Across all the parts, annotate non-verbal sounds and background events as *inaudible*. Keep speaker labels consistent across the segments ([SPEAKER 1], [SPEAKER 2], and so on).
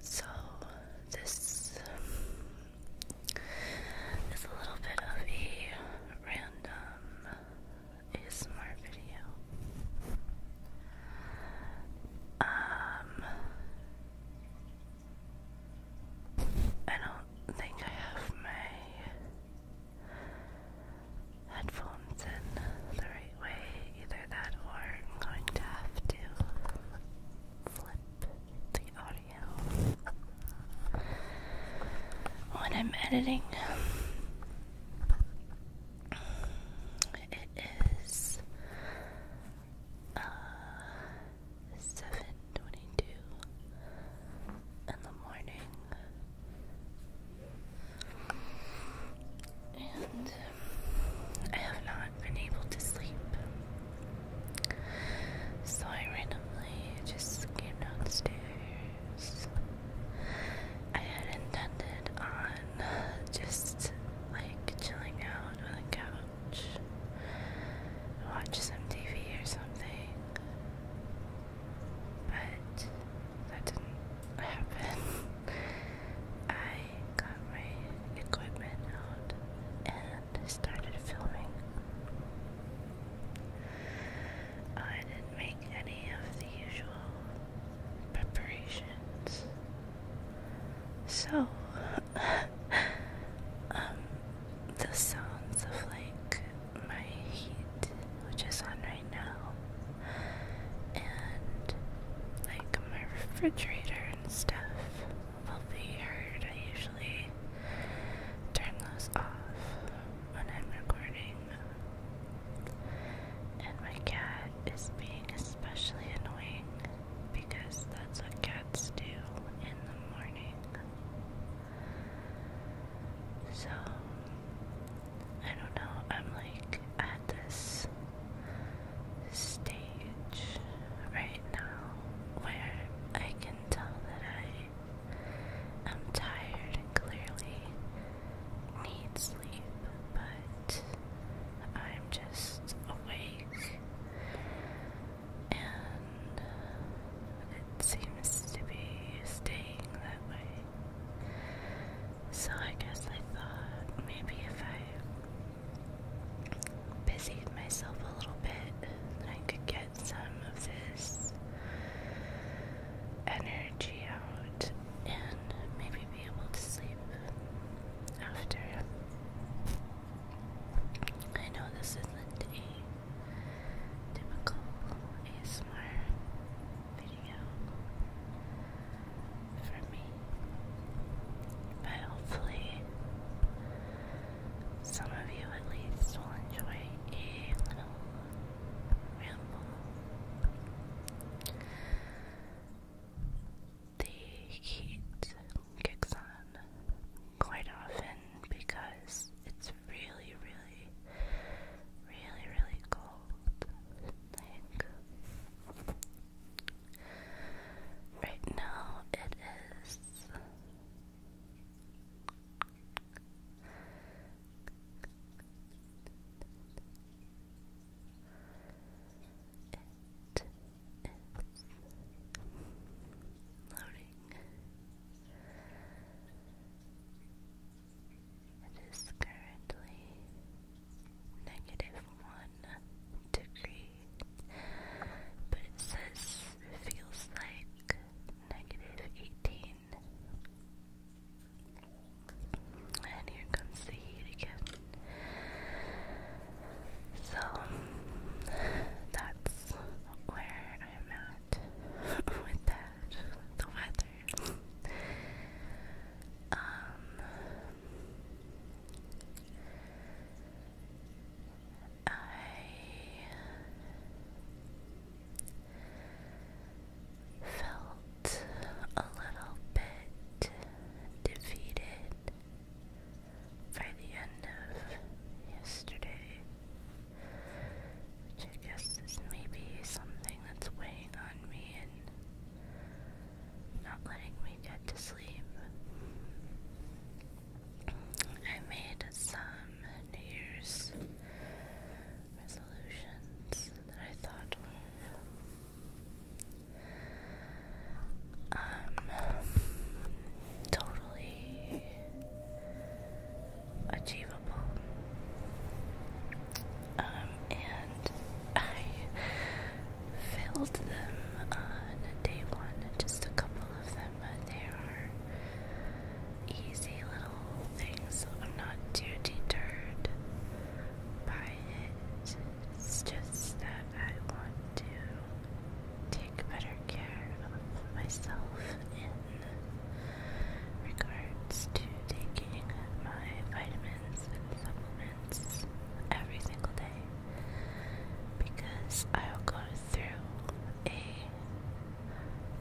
[SPEAKER 1] So this is a little bit of a random ASMR video. Um, I don't think I have my headphones in the right way. Either that or I'm going to have to flip the audio when I'm editing. It is 7:22 uh, in the morning and I have not been able to sleep. So I randomly just came downstairs. I had intended on just like chilling out on the couch, watch some TV or something but that didn't happen. *laughs* I got my equipment out and started filming. Uh, I didn't make any of the usual preparations. So, *laughs* um, the sounds of like my heat, which is on right now, and like my refrigerator and stuff will be heard. I usually turn those off when I'm recording. And my cat is being especially annoying because that's what cats do in the morning. So, I don't know, I'm like at this stage right now where I can tell that I am tired and clearly need sleep, but I'm just awake. And it seems to be staying that way. So I guess I thought maybe if I busied myself a little bit, I could get some of this energy out and maybe be able to sleep after. I know this isn't typical ASMR video for me. But hopefully, some of you at least will enjoy a little ramble. The heat kicks on quite often because it's was really, really, really, really cold. Like, right now it is. It is it is currently negative one degree, but it says feels like negative eighteen. And here comes the heat again. So that's where I'm at. *laughs* with that the weather. Um, I felt a little bit defeated by the end of yesterday. I guess this is maybe something that's weighing on me and not letting me get to sleep. I made some New Year's resolutions that I thought were um, totally achievable. Um, and I filled them on day one, just a couple of them, but they are easy little things. I'm not too deterred by it. It's just that I want to take better care of myself and Regards to taking my vitamins and supplements every single day because I will go through a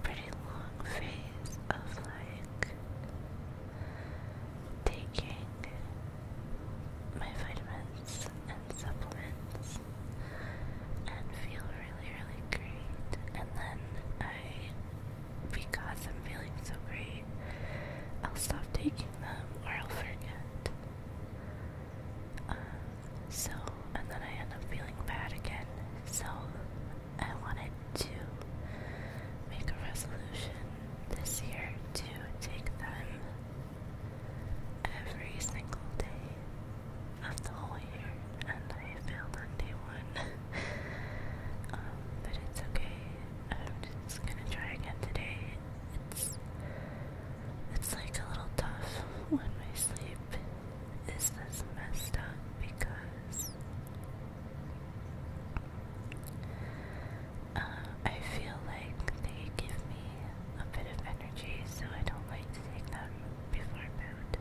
[SPEAKER 1] pretty long phase of like taking my vitamins and supplements and feel really, really great. And then I, because I'm feeling so great, I'll stop taking them or I'll forget. Um, so, and then I end up feeling bad again. So, I wanted to make a resolution this year to take them every single day of the whole year, and I failed on day one. *laughs* Um, but it's okay. I'm just gonna try again today. It's it's like a little tough when my sleep is this messed up because uh, I feel like they give me a bit of energy, so I don't like to take them before bed.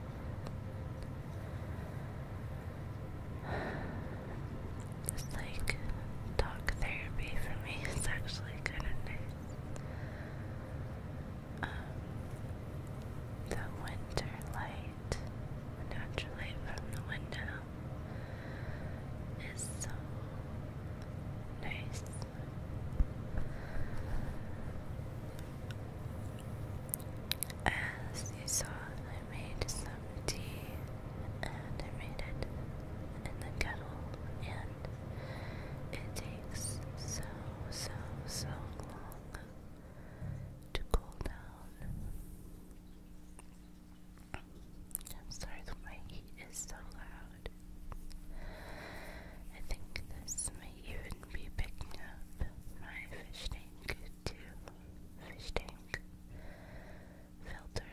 [SPEAKER 1] It's like talk therapy for me. *laughs* It's actually kind of nice. Um, the winter light, natural light from the window, is so nice. As you saw, I made some tea and I made it in the kettle, and it takes so, so, so long to cool down. I'm sorry that my heat is so loud. I think this you wouldn't be picking up my fish tank to fish tank filter.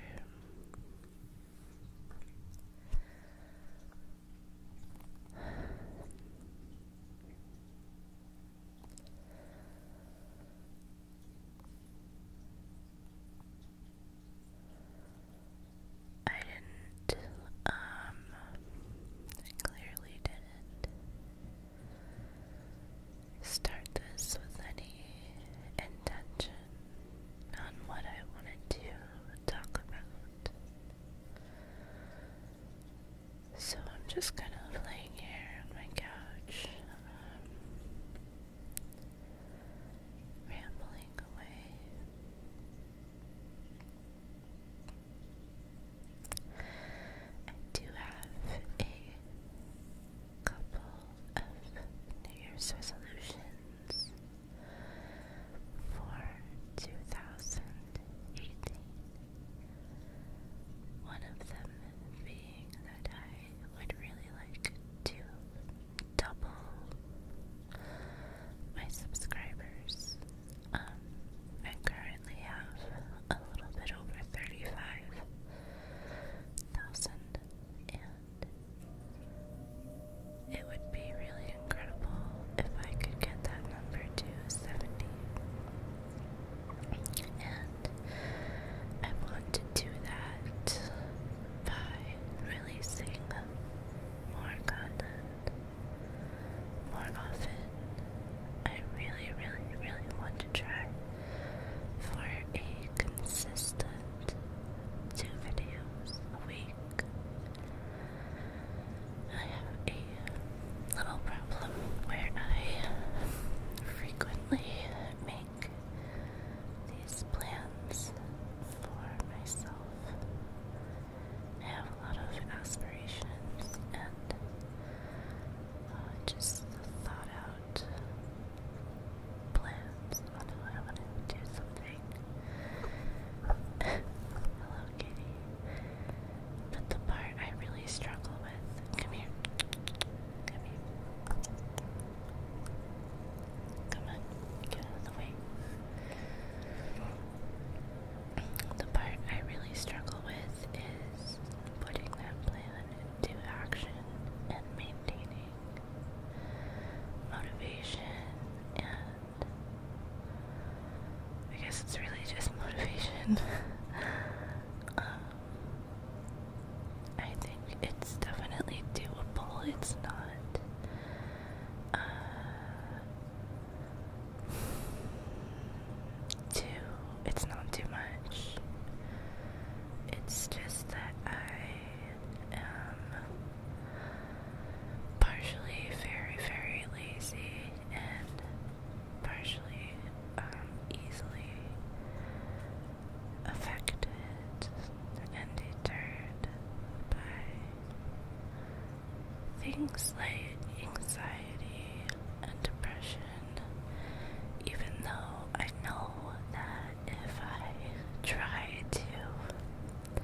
[SPEAKER 1] I didn't um, I clearly didn't start this with any intention on what I wanted to talk about. So I'm just kind of laying here on my couch, um, rambling away. I do have a couple of New Year's resolutions for 2018. One of them being that I would really like to double my subscribers um, I currently have a little bit over thirty-five thousand, and it would be really incredible if I could get that number to seventy. And I want to do that by releasing more content more often. I really, really, really want to try for a consistent two videos a week. I have a little problem where I frequently make these plans for myself I have a lot of aspirations and uh, just thought out plans on how I want to do something. *laughs* Hello, kitty. But the part I really struggle with. Come here. Come here. Come on. Get out of the way. The part I really struggle with is putting that plan into action and maintaining motivation and I guess it's really just *laughs* motivation. Um, I think it's definitely doable. It's not uh, too, it's not too much. It's just that I am partially very, very lazy and partially um, easily affected and deterred by Things like anxiety and depression, even though I know that if I try to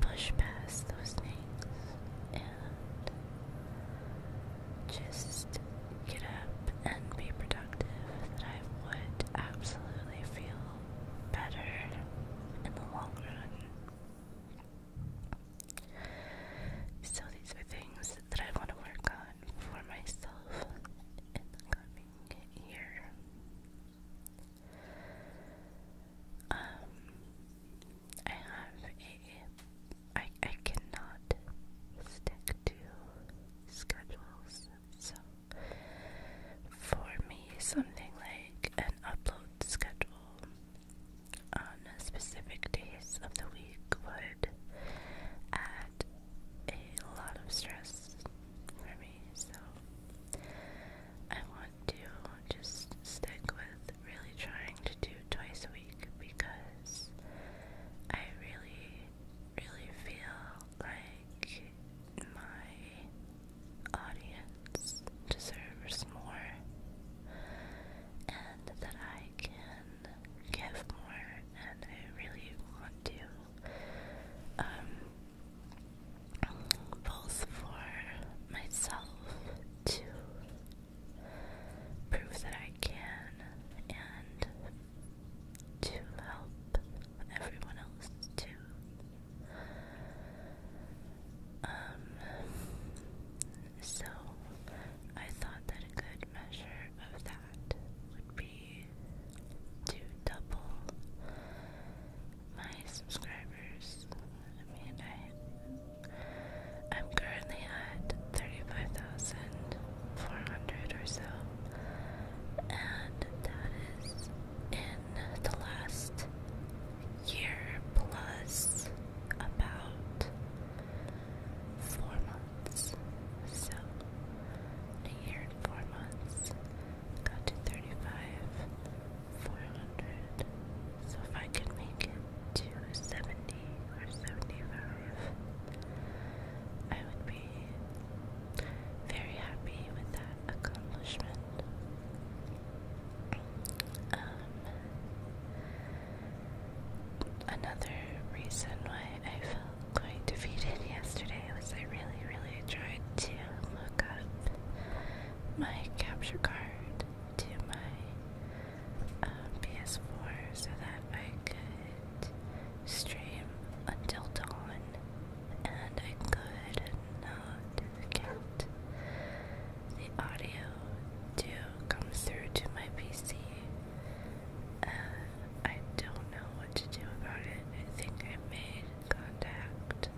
[SPEAKER 1] push past those things and just get up and be productive, that I would absolutely feel better in the long run. So these are things that I want to work on for myself in the coming year. Um, I have a, I, I cannot stick to schedules, so for me, something like an upload schedule on specific days of the week would add a lot of stress for me. So I want to just stick with really trying to do twice a week because I really, really feel like my audience deserves more and that I can give more and I really want to um both for myself to prove that I can and to help everyone else too. Um, so I thought that a good measure of that would be to double my subscribers. I mean, I I'm currently at thirty-five thousand four hundred or so, and that is in the last year plus about four months. So, a year and four months, got to 35, 400. So, if I could make it to 70 or 75, I would be very happy with that accomplishment. Um, another reason why I felt quite defeated yesterday was I really, really tried to look up my capture card to my um, PS4 so that I could stream until dawn, and I could not get the audio to come through to my PC. Uh, I don't know what to do about it. I think I made contact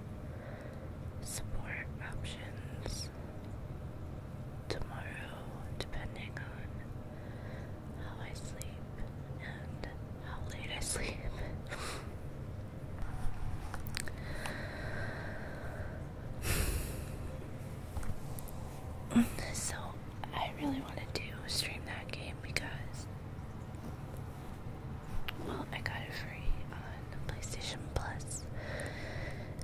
[SPEAKER 1] support options tomorrow, depending on how I sleep and how late I *laughs* sleep so I really want to do stream that game because well I got it free on PlayStation Plus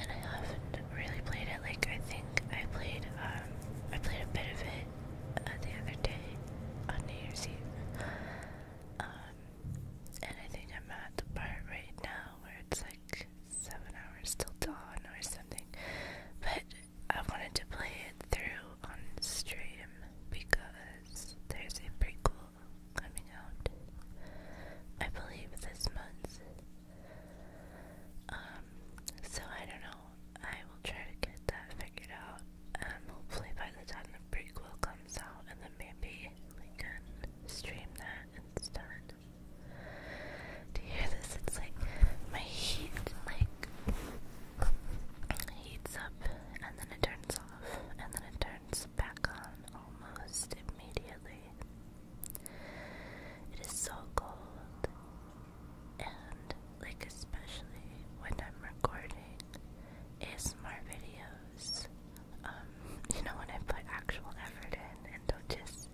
[SPEAKER 1] and I haven't really played it like I think I played um, I played a bit of it uh, the other day on New Year's Eve. Um, and I think I'm at the part right now where it's like seven hours till dawn or something. But I wanted to play it through on stream because there's a prequel coming out. I believe this month. Um, so I don't know. I will try to get that figured out. Um, hopefully by the time the prequel comes out, and then maybe we can stream that, it's done. Do you hear this? It's like my heat like heats up and then it turns off and then it turns back on almost immediately. It is so cold and like especially when I'm recording ASMR videos um, you know, when I put actual effort in and don't just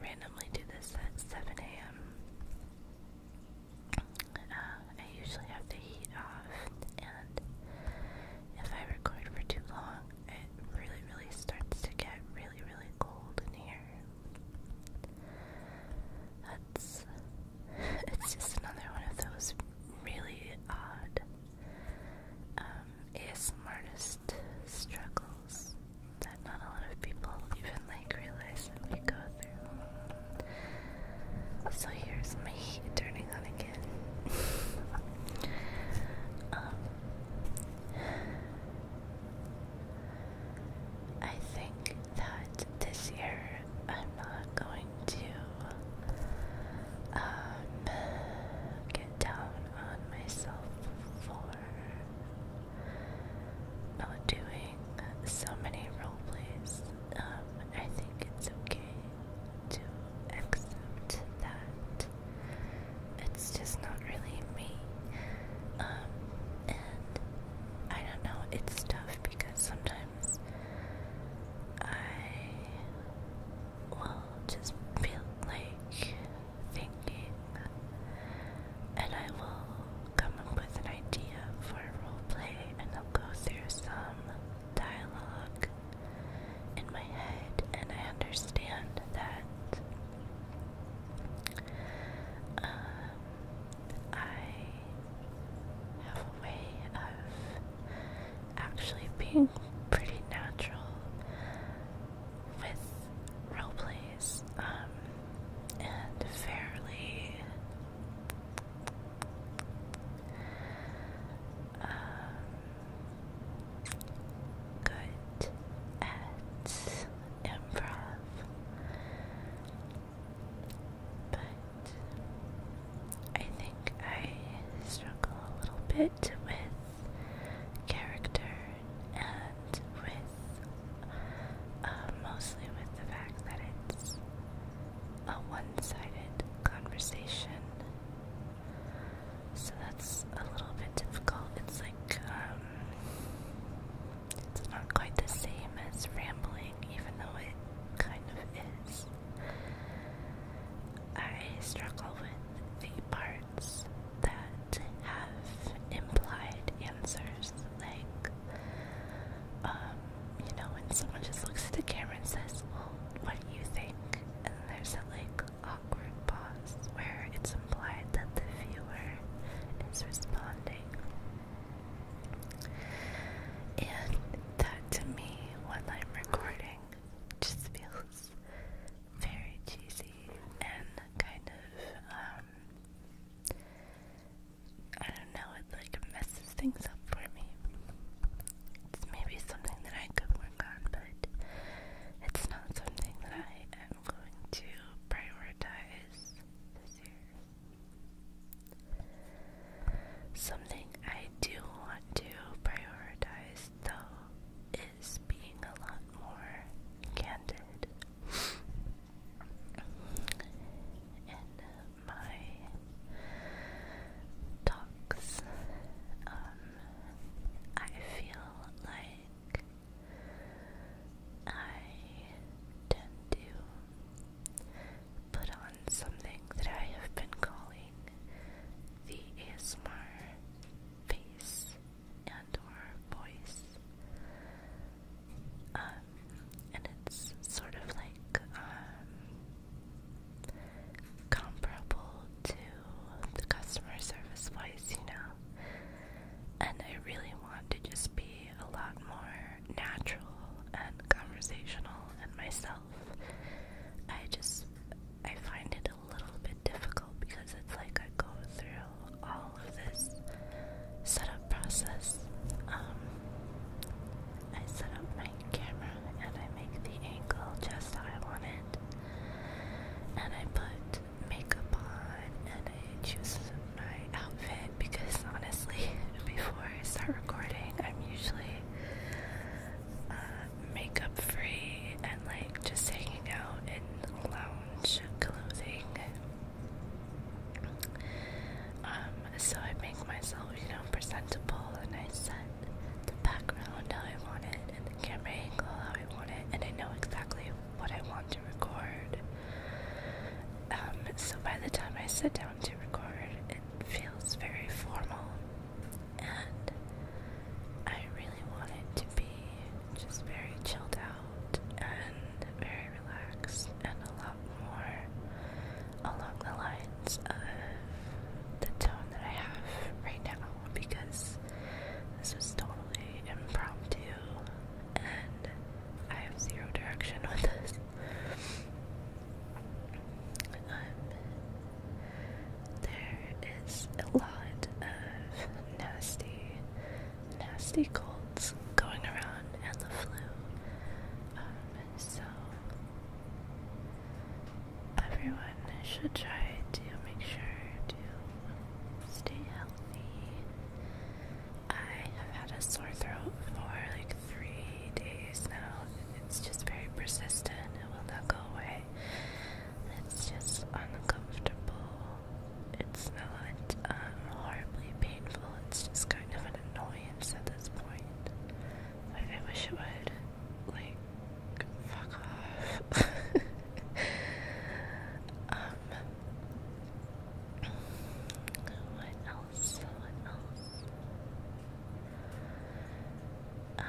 [SPEAKER 1] randomly do this at 7 a.m. Uh, I usually have the heat off, and if I record for too long, it really, really starts to get really, really cold in here. That's *laughs* it's just another one of those really odd um, ASMRtist struggles that not a lot of people even like realize that we go through. So here's my turning on again. *laughs* Um, I think that this year I'm not going to um, get down on myself for oh, doing so many roleplays. Um, I think it's okay to accept that it's just not really me. Um, and I don't know, it's tough because sometimes I will just feel like thinking, and I will come up with an idea for role play, and I'll go through some dialogue in my head, and I understand that. Um, I have a way of actually being pretty natural with role plays um, and fairly um, good at improv. But I think I struggle a little bit with character and with uh, mostly with the fact that it's a one-sided conversation. So that's a little bit difficult. It's like um, it's not quite the same as rambling even though it kind of is. I struggle with the parts that have implied answers, like, um, you know, when someone just looks at the camera and says, Well, what do you think? And there's a like awkward pause where it's implied that the viewer is responding. And that to me, when I'm recording, just feels very cheesy and kind of, um, I don't know, it like messes things up for me. It's maybe something that I could work on, but it's not something that I am going to prioritize this year. Something I do want to prioritize, though, is being a lot more candid in my talks. Um, I feel like I tend to put on something that I have been calling the ASMR face and or voice. Um, and it's sort of like um, comparable to the customer service voice, you know. And I really want to just be a lot more natural and conversational and myself. I just I find it a little bit difficult because it's like I go through all of this setup process. Um, I set up my camera and I make the angle just how I want it, and I put makeup on and I choose my outfit because honestly, *laughs* before I start recording, I'm usually uh, makeup free and like just hanging out in lounge clothing. Um, so I make myself, you know, presentable and I set the background how I want it and the camera angle how I want it and I know exactly what I want to record. Um, so by the time I sit down to record, it feels very formal and I really wanted to be just very chilled out and very relaxed and a lot more along the lines of the tone that I have right now because this was totally impromptu and I have zero direction with this. *laughs* Um, there is a lot of nasty, nasty colds going around and the flu. Um, so everyone should try to make sure to stay healthy. I have had a sore throat for like three days now. It's just very persistent. It will not go away. It's just uncomfortable. It's not um, horribly painful. It's just kind of an annoyance at this point. I wish it would, like, fuck off. *laughs* um, what else? What else? Um,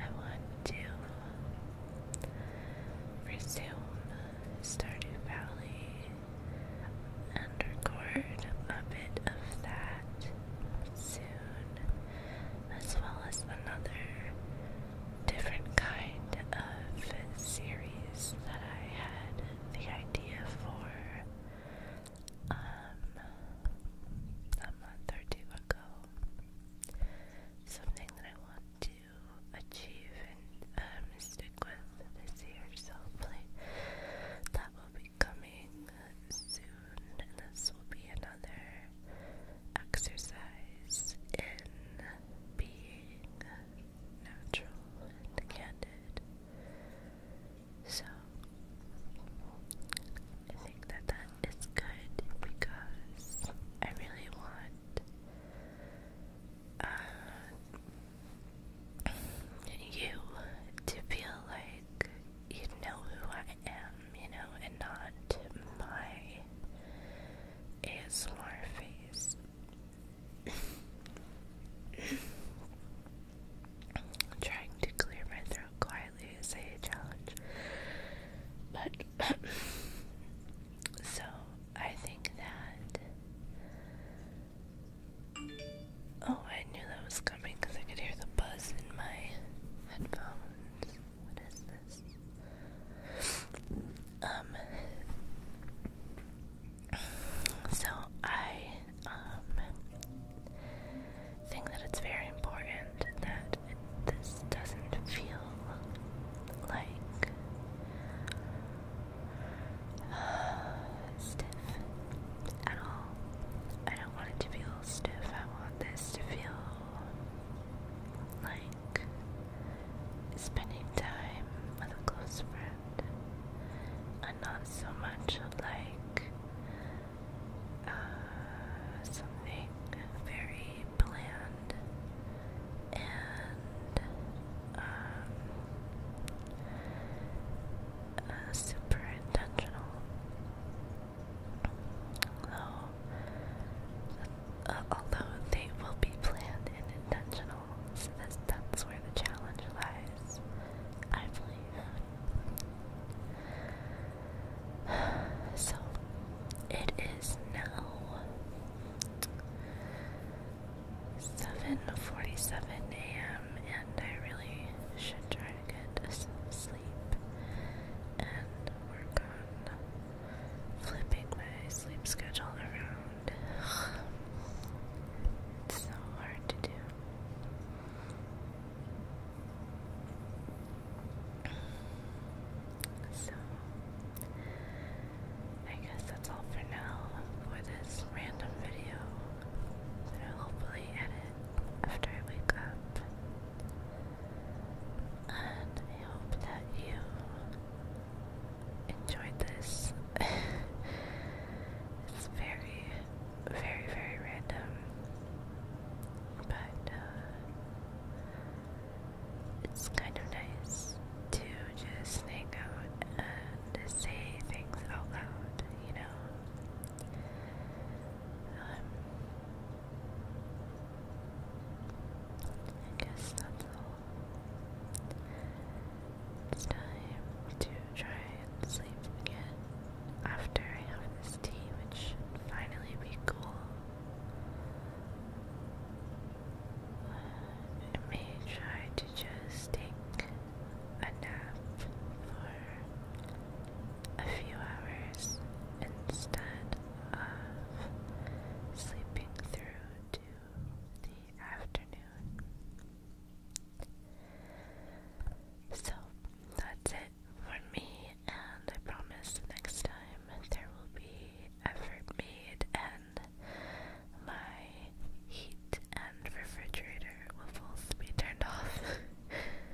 [SPEAKER 1] I want to resume Stardew Valley and a bit of that soon, as well as another different kind of series that I had the idea for. Um, a month or two ago. Something that I want to achieve and um, stick with this year, so hopefully that will be coming soon, and this will be another exercise in being natural and candid. So I think that that is good because I really want uh, you to feel like you know who I am, you know, and not my ASMR face. *laughs* I'm trying to clear my throat quietly is a challenge. But *coughs* so I think that oh, I knew that was coming because I could hear the buzz in my headphones. What is this? Um, so I um, think that it's very important that this doesn't feel like uh, stiff at all. I don't want it to feel stiff. I want this to feel like spending time with a close friend and not so much like uh, something very bland and um, uh, super intentional. Although, uh, although they will be planned and intentional, so that's, that's where the challenge lies, I believe. So it is now seven forty-seven a.m. and I really should try to get some sleep and work on flipping my sleep schedule around. *sighs* It's so hard to do. So, I guess that's all for now for this random video that I'll hopefully edit after I wake up. And I hope that you enjoyed this. *laughs* it's very very, very random. But uh, it's kind of nice to just hang out and say things out loud, you know? Um, I guess that's all. It's time to try and sleep again after I have this tea, which finally be cool. I may try to just take a nap for a few hours instead of sleeping through to the afternoon. So that's it for me, and I promise next time there will be effort made, and my heat and refrigerator will both be turned off.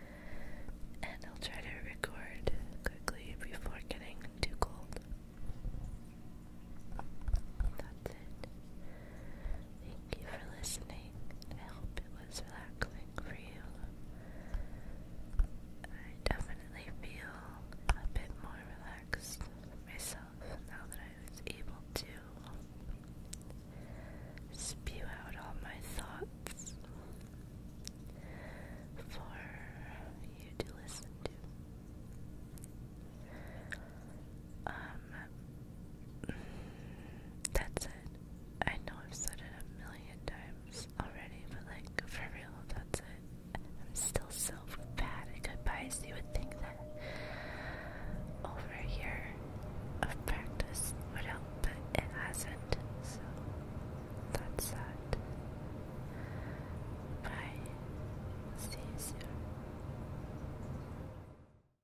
[SPEAKER 1] *laughs* and I'll try to record quickly before getting too cold. That's it. Thank you for listening. I hope it was relaxing for you. I definitely feel a bit more relaxed myself now that I was able to spew out all my thoughts for you to listen to. Um, that's it. I know I've said it a million times already, but like, for real, that's it. I'm still so bad at goodbyes. You would think that over a of practice would help, but it hasn't, so that's sad. Bye. See you soon.